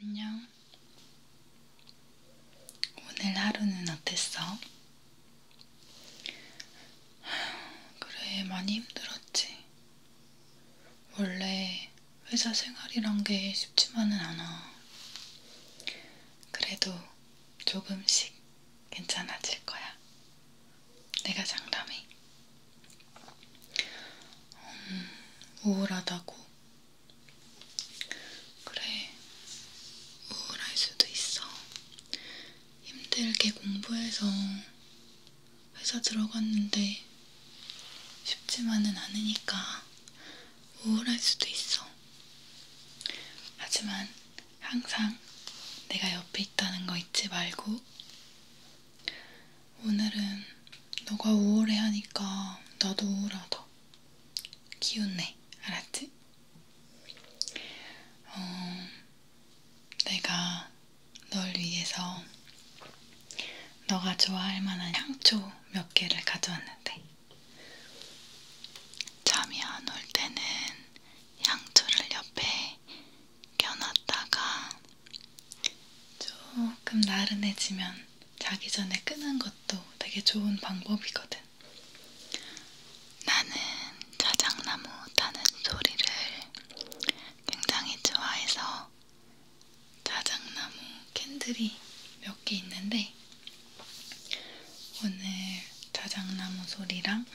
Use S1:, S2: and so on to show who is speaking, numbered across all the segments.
S1: 안녕. 오늘 하루는 어땠어? 그래, 많이 힘들었지. 원래 회사 생활이란 게 쉽지만은 않아. 그래도 조금씩 괜찮아질 거야. 내가 장담해. 음, 우울하다고? 그래, 우울할 수도 있어. 힘들게 공부해서 회사 들어갔는데 쉽지만은 않으니까 우울할 수도 있어. 하지만 항상 내가 옆에 있다는 거 잊지 말고 오늘은 너가 우울해 하니까 나도 우울하다. 기운내, 알았지? 어, 내가 널 위해서 너가 좋아할 만한 향초 몇 개를 가져왔는데 잠이 안 올 때는 향초를 옆에 껴놨다가 조금 나른해지면 자기 전에 끄는 것도 되게 좋은 방법이거든. 나는 자작나무 타는 소리를 굉장히 좋아해서 자작나무 캔들이 몇 개 있는데 오늘 자작나무 소리랑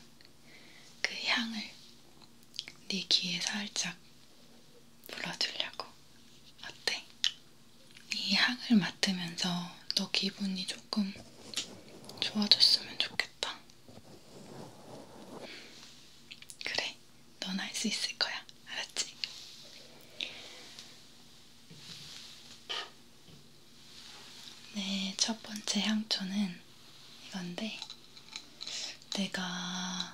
S1: 그 향을 네 귀에 살짝 불러주려고. 어때? 이 향을 맡으면서 너 기분이 조금 좋아졌으면 좋겠다. 그래, 넌할수 있을 거야. 알았지? 네, 첫 번째 향초는 이건데, 내가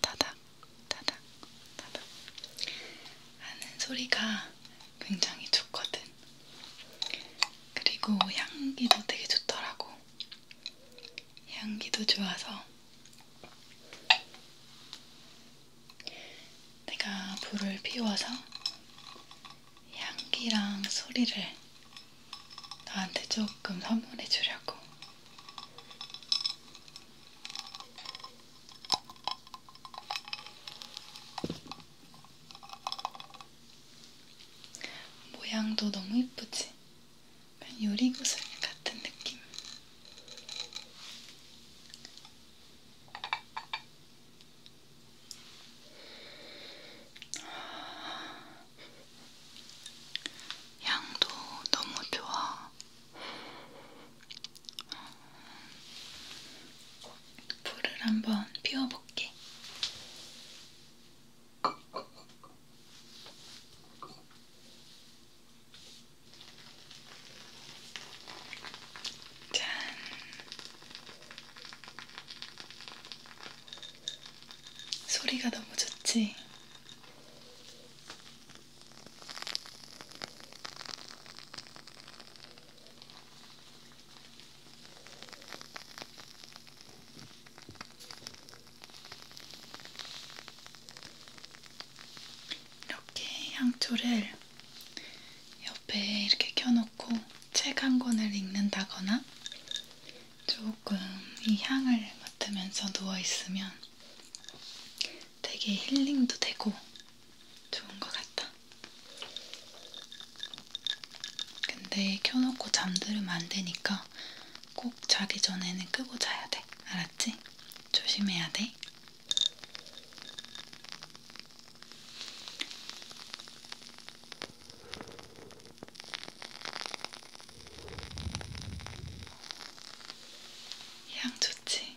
S1: 타닥 타닥 타닥 하는 소리가 굉장히 좋거든. 그리고 향기도 되게 좋더라고. 향기도 좋아서 내가 불을 피워서 향기랑 소리를 나한테 조금 선물해 주려고. 모양도 너무 이쁘지? 요리구슬 같은 느낌. 아, 향도 너무 좋아. 불을 한번 피워볼게. 짠. 소리가 너무 좋지. 이렇게 향초를 옆에 이렇게 켜놓고 책 한 권을 읽는다거나 조금 이 향을 맡으면서 누워있으면 되게 힐링도 되고 좋은 것 같다. 근데 켜놓고 잠들면 안 되니까 꼭 자기 전에는 끄고 자야 돼. 알았지? 조심해야 돼. 향 좋지?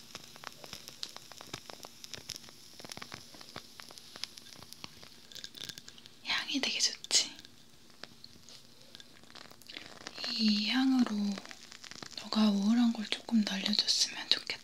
S1: 향이 되게 좋지? 이 향으로 너가 우울한 걸 조금 날려줬으면 좋겠다.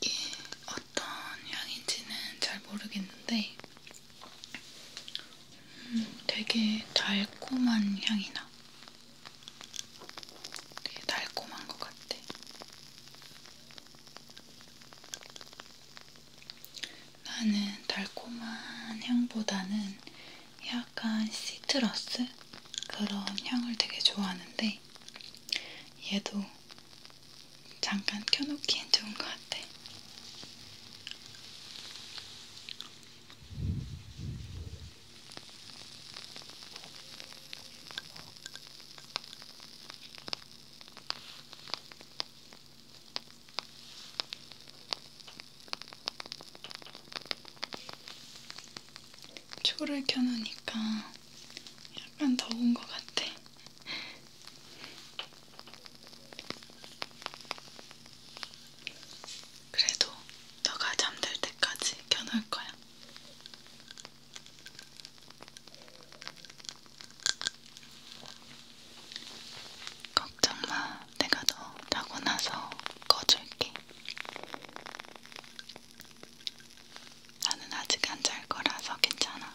S1: 이게 어떤 향인지는 잘 모르겠는데 음, 되게 달콤한 향이 나. 되게 달콤한 것 같아. 나는 달콤한 향보다는 약간 시트러스? 그런 향을 되게 좋아하는데 얘도 잠깐 켜놓기엔 좋은 것 같아. 초를 켜놓으니까 약간 더운 것 같아. 그래도 너가 잠들 때까지 켜놓을 거야. 걱정 마, 내가 너 자고 나서 꺼줄게. 나는 아직 안 잘 거라서 괜찮아.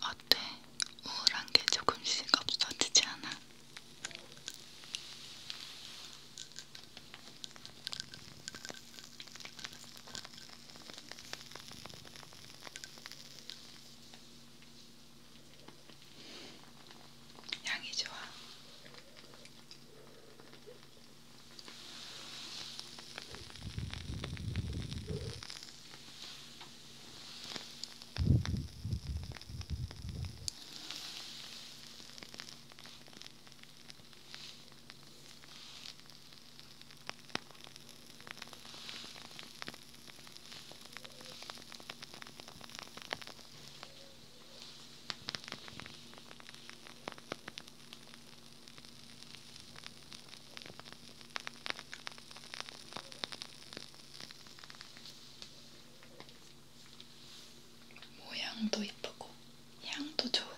S1: 어때? 우울한 게 조금씩 없어지지 않아? 향이 좋아. 모양도 예쁘고 향도 좋은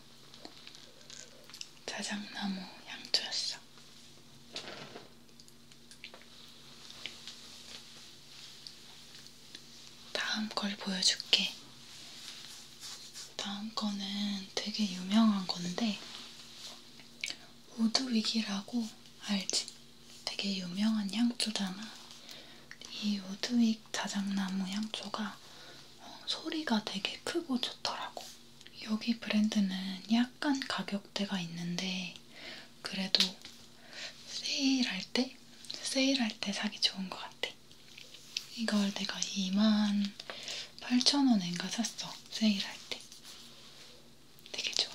S1: 자작나무 향초였어. 다음 걸 보여줄게. 다음 거는 되게 유명한 건데, 우드윅이라고 알지? 되게 유명한 향초잖아. 이 우드윅 자작나무 향초가 어, 소리가 되게 크고 좋더라고. 여기 브랜드는 약간 가격대가 있는데 그래도 세일할 때? 세일할 때 사기 좋은 것 같아. 이걸 내가 2만 8천원인가 샀어. 세일할 때. 되게 좋아.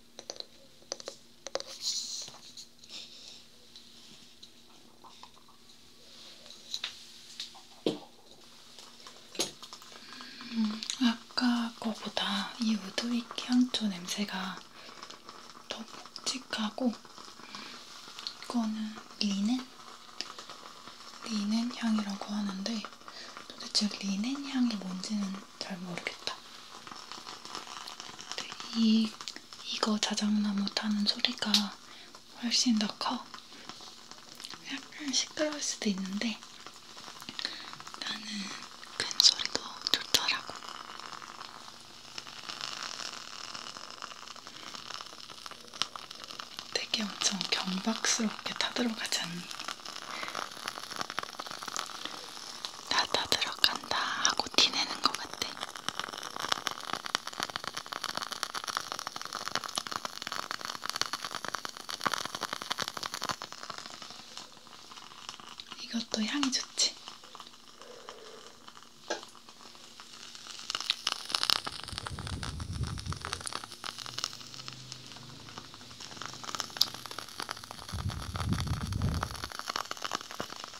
S1: 음, 아까 거보다 이 우드위키 향초 냄새가 더 묵직하고 이거는 리넨? 리넨 향이라고 하는데 도대체 리넨 향이 뭔지는 잘 모르겠다. 네, 이 이거 자작나무 타는 소리가 훨씬 더 커. 약간 시끄러울 수도 있는데 나는 큰 그 소리도 좋더라고. 되게 엄청 경박스럽게 타들어가지 않니? 나다 들어간다 하고 티내는 것 같아. 이것도 향이 좋지.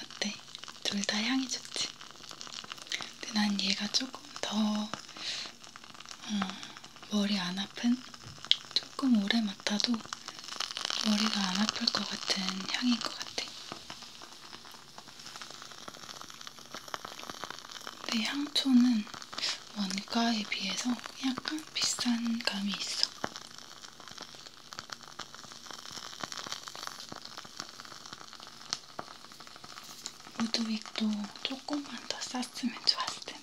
S1: 어때? 둘 다 향이 좋지? 근데 난 얘가 조금 더 어, 머리 안 아픈? 조금 오래 맡아도 머리가 안 아플 것 같은 향인 것 같아. 근데 향초는 원가에 비해서 약간 비싼 감이 있어. 무드윅도 조금만 더 쌌으면 좋았을 텐데.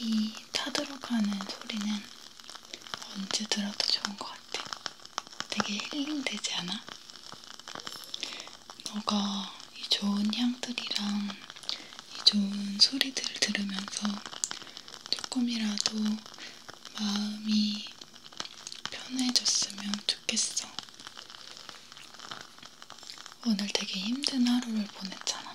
S1: 이 타도록 하는 소리는 언제 들어도 좋은 것 같아. 되게 힐링되지 않아? 너가 이 좋은 향들이랑 이 좋은 소리들을 들으면서 조금이라도 마음이 편해졌으면 좋겠어. 오늘 되게 힘든 하루를 보냈잖아.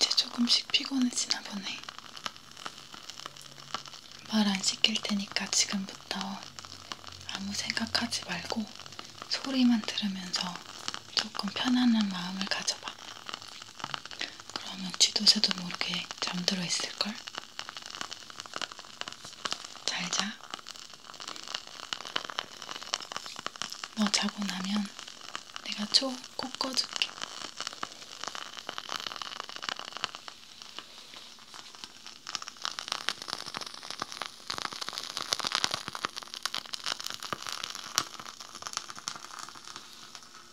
S1: 이제 조금씩 피곤해지나 보네. 말안 시킬 테니까 지금부터 아무 생각하지 말고 소리만 들으면서 조금 편안한 마음을 가져봐. 그러면 쥐도새도 모르게 뭐 잠들어 있을걸? 잘 자. 너 자고 나면 내가 초 꼭 꺼줄게.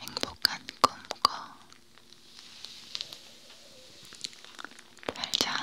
S1: 행복한 꿈꿔 잘자